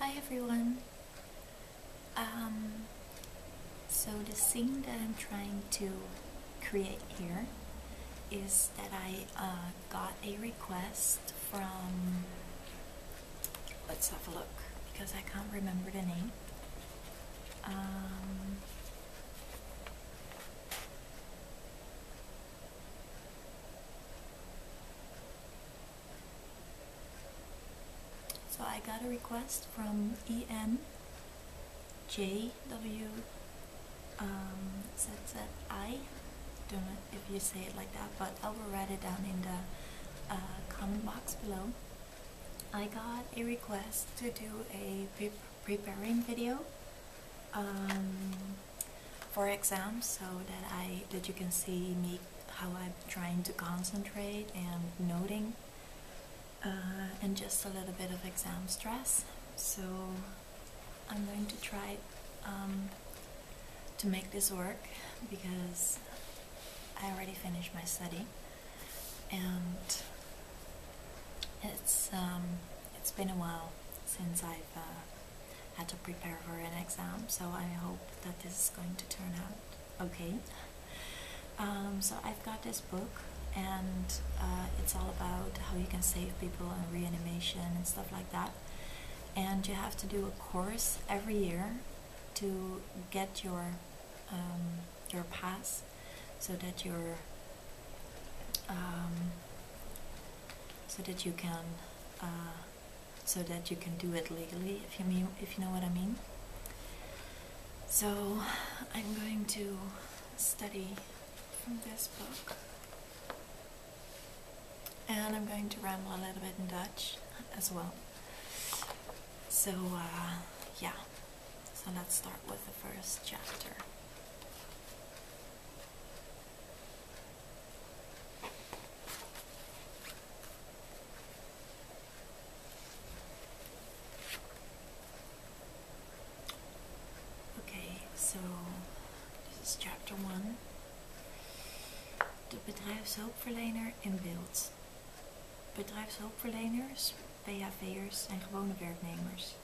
Hi everyone! Um, so the scene that I'm trying to create here is that I uh, got a request from, let's have a look because I can't remember the name. Um, so I got a request from EM um, Don't know if you say it like that, but I will write it down in the uh, comment box below. I got a request to do a preparing video. Um, for exams so that I that you can see me how I'm trying to concentrate and noting uh, and just a little bit of exam stress so I'm going to try um, to make this work because I already finished my study and it's um, it's been a while since I've uh, had to prepare for an exam. So I hope that this is going to turn out okay. Um, so I've got this book and uh, it's all about how you can save people and reanimation and stuff like that. And you have to do a course every year to get your um, your pass so that you um, so that you can uh, so that you can do it legally if you mean if you know what I mean so I'm going to study from this book and I'm going to ramble a little bit in Dutch as well so uh, yeah so let's start with the first chapter Oké, so Dit is chapter 1. De bedrijfshulpverlener in beeld. Bedrijfshulpverleners, PHV'ers zijn gewone werknemers.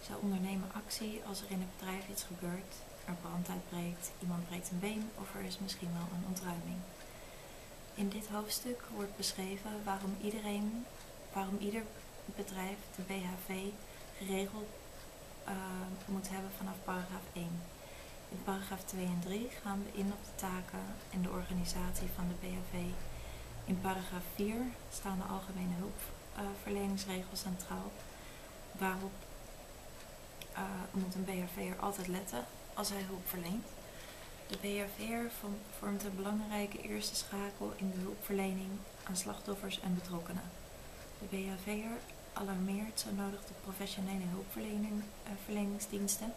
Zij ondernemen actie als er in het bedrijf iets gebeurt er brand uitbreekt, iemand breekt een been of er is misschien wel een ontruiming. In dit hoofdstuk wordt beschreven waarom, iedereen, waarom ieder bedrijf de BHV geregeld eh, moet hebben vanaf paragraaf 1. In paragraaf 2 en 3 gaan we in op de taken en de organisatie van de BHV. In paragraaf 4 staan de algemene hulpverleningsregels centraal, waarop eh, moet een BHV'er altijd letten als hij hulp verleent. De BHV'er vormt een belangrijke eerste schakel in de hulpverlening aan slachtoffers en betrokkenen. De BHV'er alarmeert zo nodig de professionele hulpverleningsdiensten.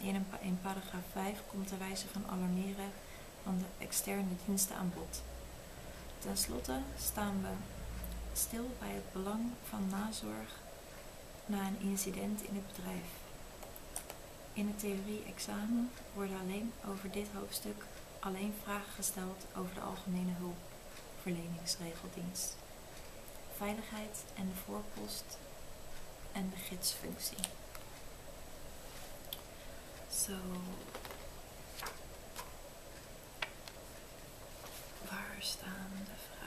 Eh, in, in paragraaf 5 komt de wijze van alarmeren van de externe diensten aan bod. Ten slotte staan we stil bij het belang van nazorg na een incident in het bedrijf. In het theorie-examen worden alleen over dit hoofdstuk alleen vragen gesteld over de algemene hulpverleningsregeldienst, veiligheid en de voorpost en de gidsfunctie. So, Waar staan de vragen?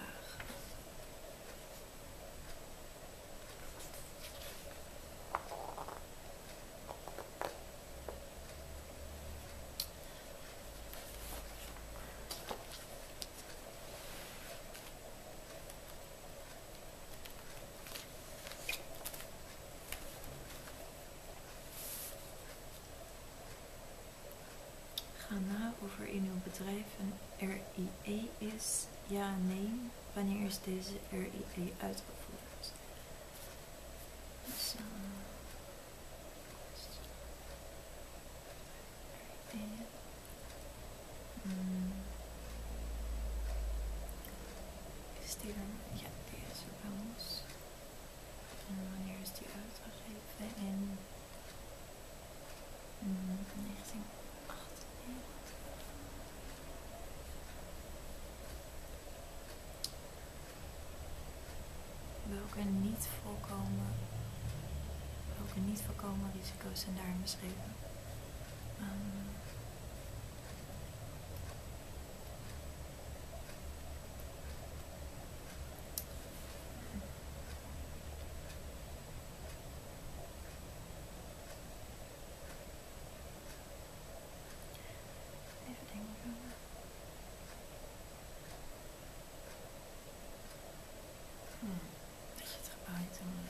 Ga na of er in uw bedrijf een RIE is, ja, nee. Wanneer is deze RIE uitgevoerd? Dus, RIE. Hmm. Is die er? Ja, die is er bij ons. En wanneer is die uitgegeven? In Welke niet voorkomen, welke niet voorkomen risico's zijn daarin beschreven? Ehm, Even denken. Hm, dat je het gebouwd helemaal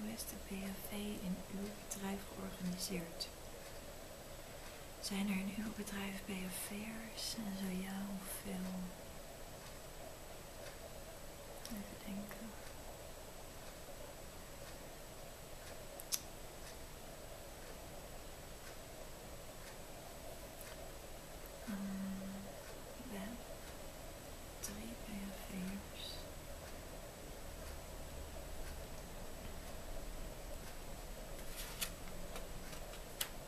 hoe is de BHV in uw bedrijf georganiseerd? Zijn er in uw bedrijf en zo ja, hoeveel? Even denken. Hmm,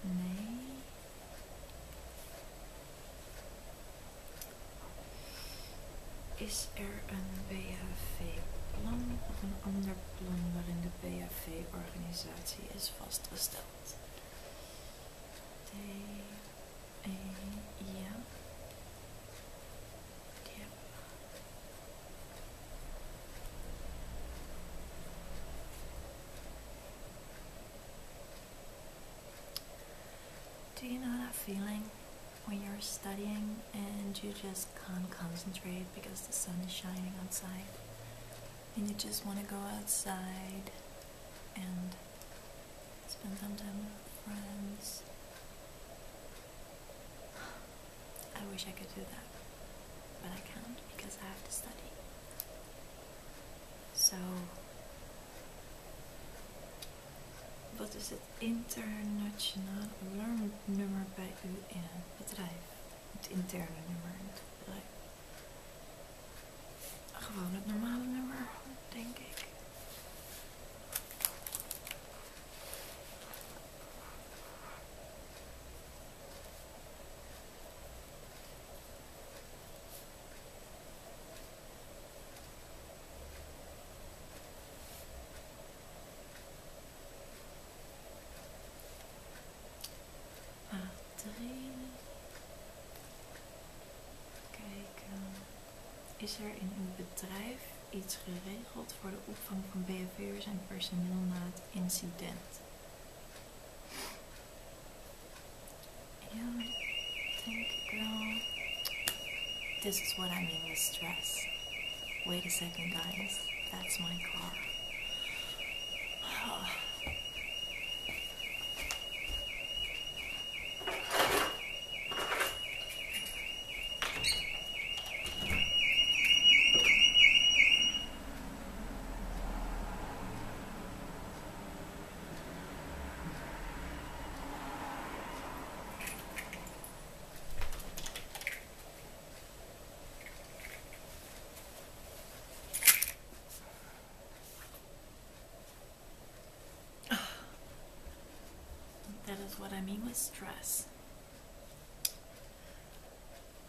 Nee. Is er een BHV-plan of een ander plan waarin de BHV-organisatie is vastgesteld? D, e, ja. Ja. Do you know that feeling when you're studying and you just can't concentrate because the sun is shining outside and you just want to go outside and spend some time with friends? I wish I could do that, but I can't because I have to study. Zo. Wat is het internationale alarmnummer bij u in het bedrijf? Het interne nummer in het bedrijf. Gewoon het normale nummer, denk ik. Batterij. Kijken. Is er in uw bedrijf iets geregeld voor de opvang van BFV'ers en personeel na het incident? You know, I girl, this is what I mean with stress. Wait a second, guys. That's my car. That is what I mean with stress.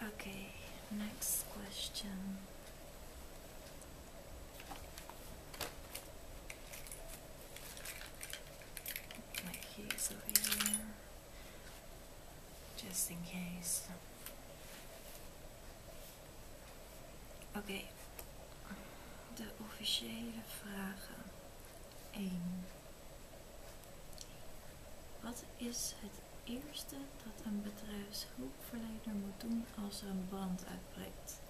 Okay, next question. Hier my keys over just in case. Oké, okay. de officiële vragen 1. Wat is het eerste dat een bedrijfshulpverlener moet doen als er een brand uitbreekt.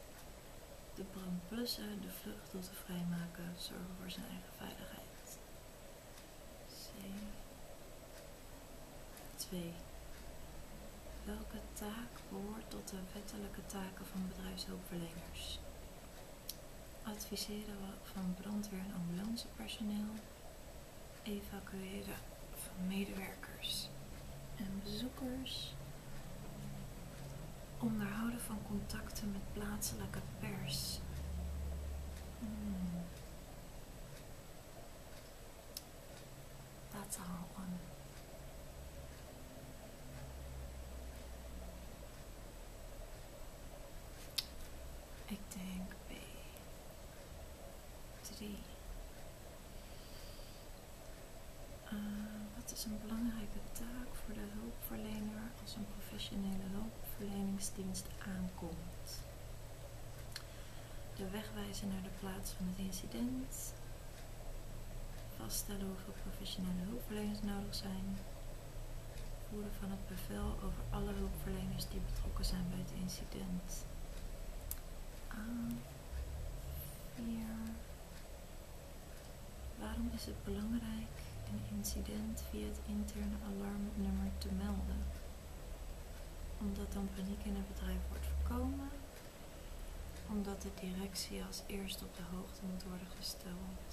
De de de vluchtroute vrijmaken, zorgen voor zijn eigen veiligheid. C. 2. Welke taak behoort tot de wettelijke taken van bedrijfshulpverleners? Adviseren van brandweer- en ambulancepersoneel, evacueren van medewerkers en bezoekers, onderhouden van contacten met plaatselijke pers. Hmm. Dat That's a aan. Ik denk B3. Eh, wat is een belangrijke taak voor de hulpverlener als een professionele hulpverleningsdienst aankomt? De wegwijzen naar de plaats van het incident. Vaststellen hoeveel professionele hulpverleners nodig zijn. Voeren van het bevel over alle hulpverleners die betrokken zijn bij het incident. Ah, Waarom is het belangrijk een incident via het interne alarmnummer te melden? Omdat dan paniek in het bedrijf wordt voorkomen. Omdat de directie als eerst op de hoogte moet worden gesteld.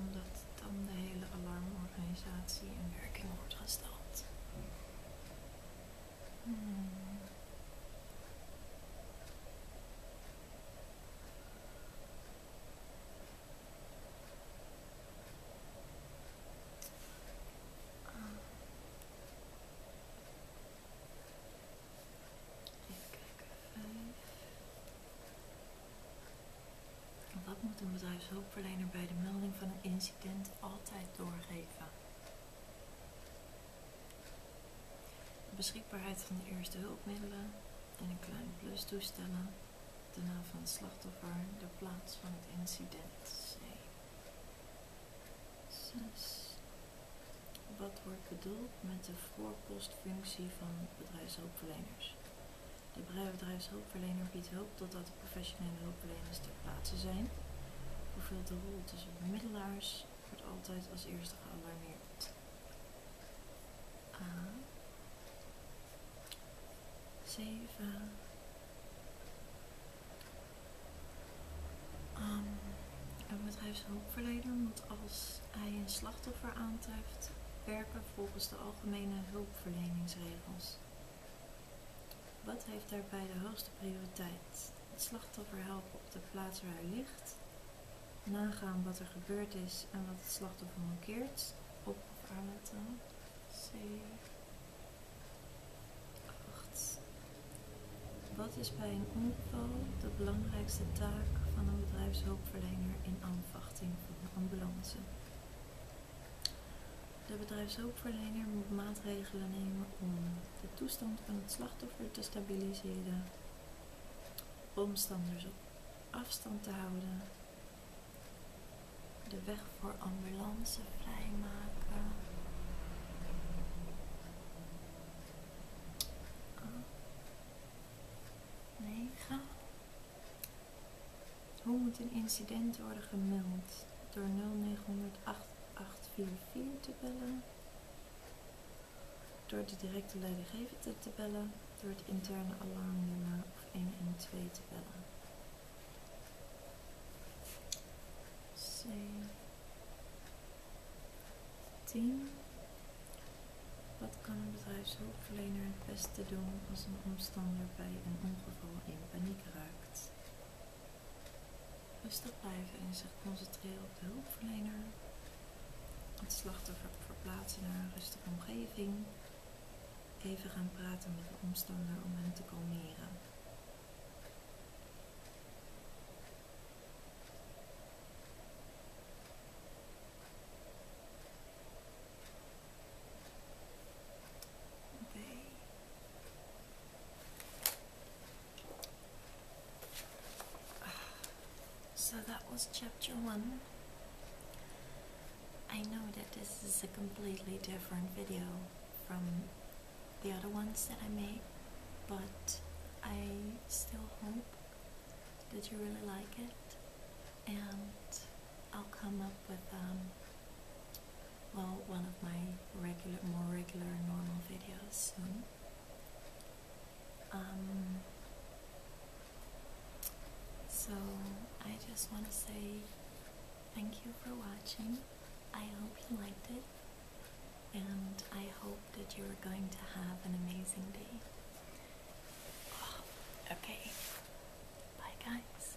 Omdat dan de hele alarmorganisatie in werking wordt gesteld. Wat moet een bedrijfshoofd verlener bij de melding van een inzien? incident altijd doorgeven. beschikbaarheid van de eerste hulpmiddelen en een klein plus toestellen. De naam van het slachtoffer, de plaats van het incident. 6. Wat wordt bedoeld met de voorpostfunctie van bedrijfshulpverleners? De bedrijfshulpverlener biedt hulp totdat professionele hulpverleners ter plaatse zijn, Hoeveel de rol tussen bemiddelaars, wordt altijd als eerste gealarmeerd. A. 7. Ehm, een bedrijfshulpverlener moet als hij een slachtoffer aantreft werken volgens de algemene hulpverleningsregels. Wat heeft daarbij de hoogste prioriteit? Het slachtoffer helpen op de plaats waar hij ligt, nagaan wat er gebeurd is en wat het slachtoffer mankeert, op of C. 8. Wat is bij een ongeval de belangrijkste taak van een bedrijfshulpverlener in aanvachting van een ambulance? De bedrijfshulpverlener moet maatregelen nemen om de toestand van het slachtoffer te stabiliseren, omstanders op afstand te houden, de weg voor ambulance vrijmaken. 9. Ah. Hoe moet een incident worden gemeld? Door 0900-8844 te bellen, door de directe leidinggevende te bellen, door het interne alarmnummer of 112 te bellen. C 10. Wat kan een bedrijfshulpverlener het beste doen als een omstander bij een ongeval in paniek raakt? Rustig blijven en zich concentreren op de hulpverlener. Het slachtoffer verplaatsen naar een rustige omgeving. Even gaan praten met de omstander om hen te kalmeren. so that was chapter one. I know that this is a completely different video from the other ones that I made, but I still hope that you really like it, and I'll come up with um, well one of my regular more regular normal videos um, so I just want to say thank you for watching. I hope you liked it and I hope that you're going to have an amazing day. okay. Bye guys.